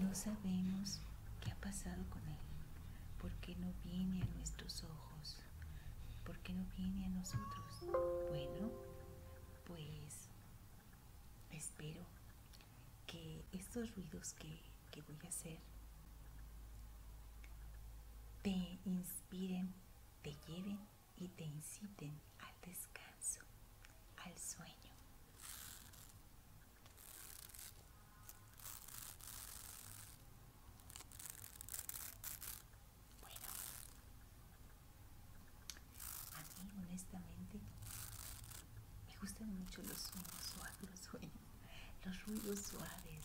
No sabemos qué ha pasado con él, porque no viene a nuestros ojos, porque no viene a nosotros. Bueno, pues espero que estos ruidos que que voy a hacer te inspiren, te lleven y te inciten al descanso, al sueño. Bueno, a mí honestamente me gustan mucho los sueños suaves, los sueños, los ruidos suaves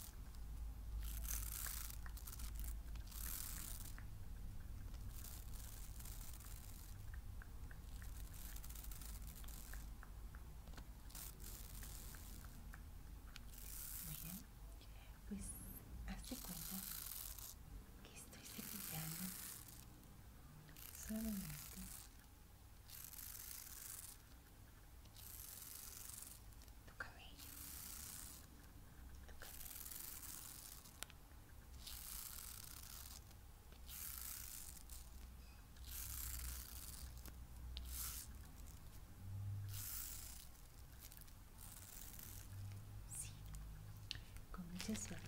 Muy bien, pues hazte cuenta que estoy cepillando solamente tu cabello. Sí, con mucha suavidad.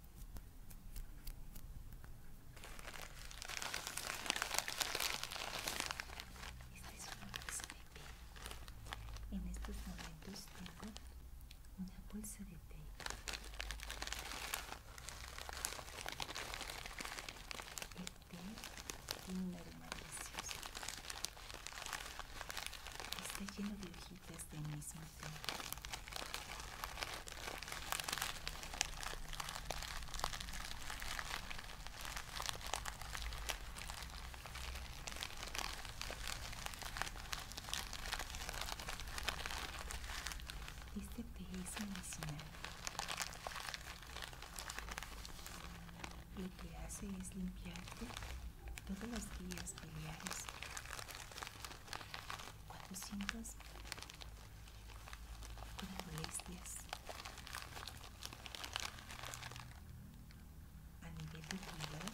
esta es una bolsa de té En estos momentos tengo una bolsa de té. El té tiene un Está lleno de hojitas este mismo tema. Este medicinal lo que hace es limpiarte todos los días biliares 400 con molestias a nivel de hígado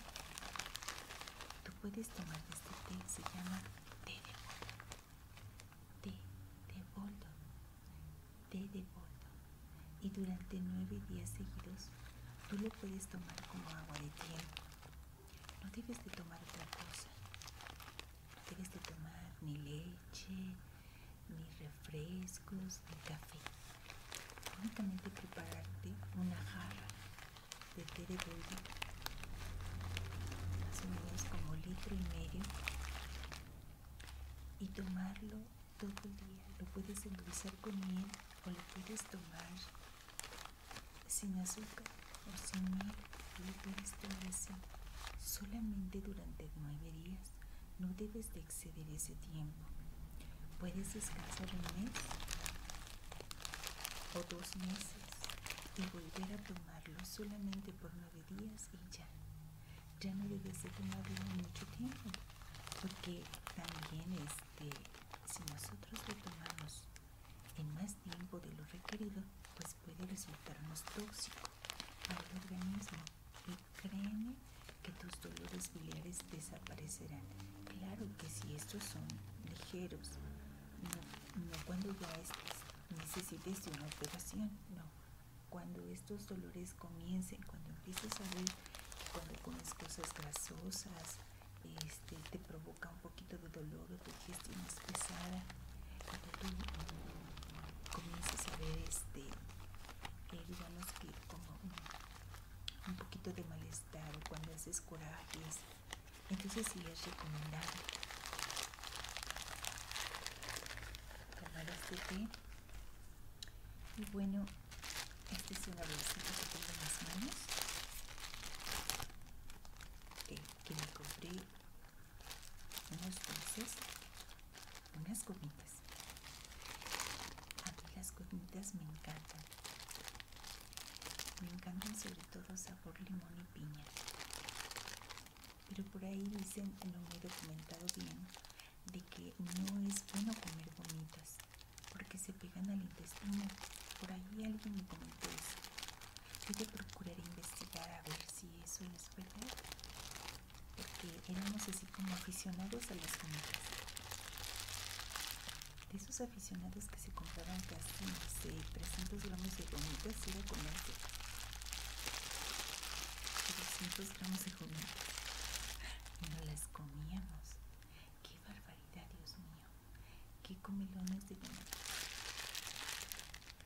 tú puedes tomar este té se llama té de boldo té de boldo té de boldo y durante nueve días seguidos tú lo puedes tomar como agua de té no debes de tomar otra cosa. No debes de tomar ni leche, ni refrescos, ni café. Únicamente prepararte una jarra de té de boldo, más o menos como litro y medio, y tomarlo todo el día. Lo puedes endulzar con miel o lo puedes tomar sin azúcar o sin miel tomar así Solamente durante nueve días no debes de exceder ese tiempo. Puedes descansar un mes o dos meses y volver a tomarlo solamente por nueve días y ya. Ya no debes de tomarlo mucho tiempo porque también este, si nosotros lo tomamos en más tiempo de lo requerido, pues puede resultarnos tóxico para el organismo. Y créeme que tus dolores biliares desaparecerán. Claro que si estos son ligeros, no, cuando ya necesites una operación, no. Cuando estos dolores comiencen, cuando empieces a ver, cuando comes cosas grasosas, este, te provoca un poquito de dolor o tu digestión es pesada, cuando tú mm, comienzas a ver este, digamos que como un poquito de malestar o cuando haces descuraje entonces sí es recomendable tomar este té. Y bueno, esta es una bolsita que tengo en las manos que me compré unos dulces, unas gomitas. aquí las gomitas me encantan. Me encantan sobre todo sabor limón y piña. Pero por ahí dicen, no lo he documentado bien, de que no es bueno comer bonitas porque se pegan al intestino. Por ahí alguien me comentó eso. Yo te procurar investigar a ver si eso es verdad, porque éramos así como aficionados a las comidas. De esos aficionados que se compraban casi, no 300 gramos de gomitas iba a comerse. 300 gramos de gomitas. Y no las comíamos. ¡Qué barbaridad, Dios mío! qué comelones de gomitas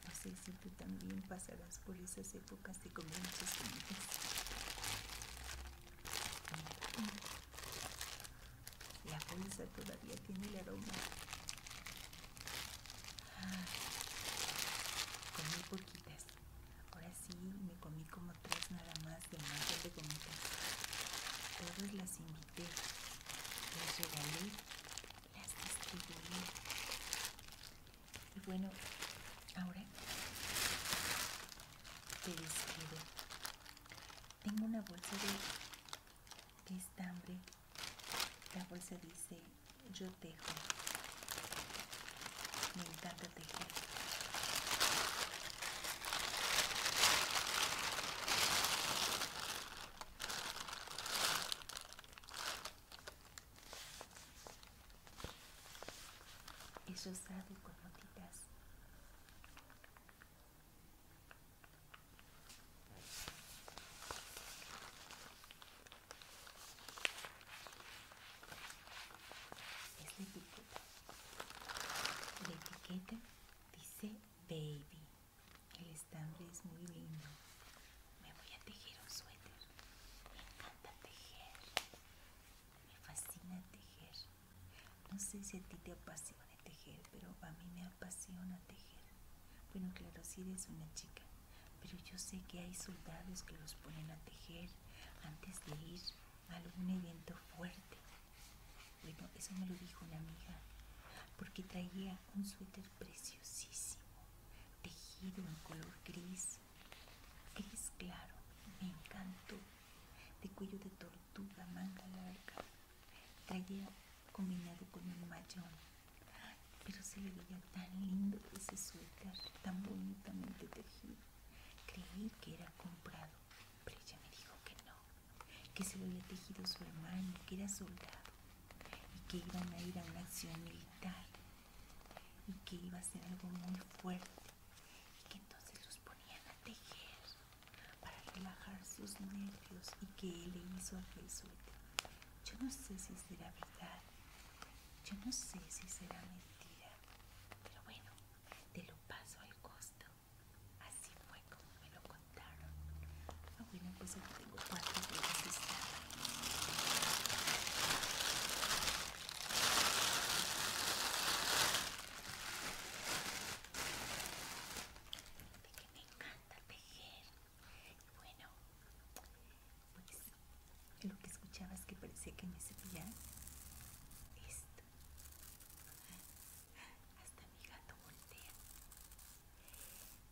No sé si tú también pasarás por esas épocas de comer gomitas La bolsa todavía tiene el aroma. Ah, comí poquitas. Ahora sí me comí como tres nada más de más de gomitas. Todas las imitas permitir que las Y bueno, ahora te describo. Tengo una bolsa de, de estambre. La bolsa dice yo tejo. Me encanta tejer. Es rosado con notitas Es la La etiqueta dice baby. El estambre es muy lindo. Me voy a tejer un suéter. Me encanta tejer. Me fascina tejer. No sé si a ti te apasiona tejer, pero a mí me apasiona tejer. Bueno, claro, si eres una chica, pero yo sé que hay soldados que los ponen a tejer antes de ir a algún evento fuerte bueno, eso me lo dijo una amiga, porque traía un suéter preciosísimo, tejido en color gris, gris claro, me encantó, de cuello de tortuga, manga larga, traía combinado con un mayón, pero se le veía tan lindo ese suéter, tan bonitamente tejido, creí que era comprado, pero ella me dijo que no que se lo había tejido su hermano, que era soldado, y que iban a ir a una acción militar, y que iba a ser algo muy fuerte, y que entonces los ponían a tejer para relajar sus nervios, y que él le hizo el suéter. Yo no sé si será verdad, yo no sé si será mentira, pero bueno, te lo paso al costo. Así fue como me lo contaron. Ah, bueno, pues aquí tengo cuatro de De que me encanta tejer. Y bueno, pues lo que escuchabas es que parecía que me cepillaba esto. Hasta mi gato voltea.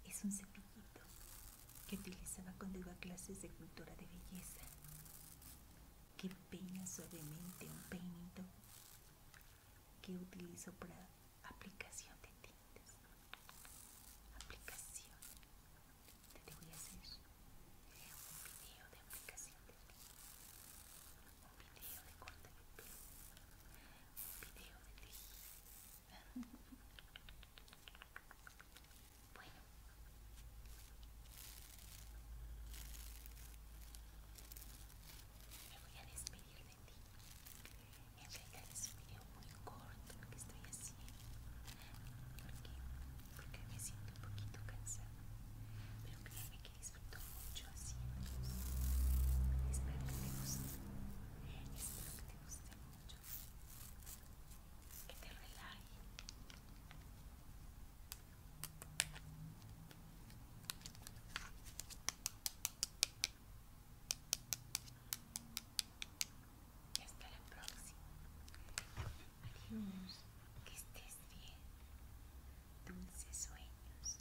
Es un cepillito que utilizaba cuando iba a clases de cultura de belleza, que peina suavemente un peinito que utilizo para aplicación de tintas. Aplicación. Te voy a hacer un video de aplicación de tintas. Un video de corte de piel un video de ti. bueno. Me voy a despedir de ti. En realidad es un video muy corto lo que estoy haciendo. Porque, porque me siento un poquito cansada. Pero créeme que disfruto mucho así Espero que te guste. Espero que te guste mucho. Que te relaje. Y hasta la próxima. Adiós. Que estés bien. Dulces sueños.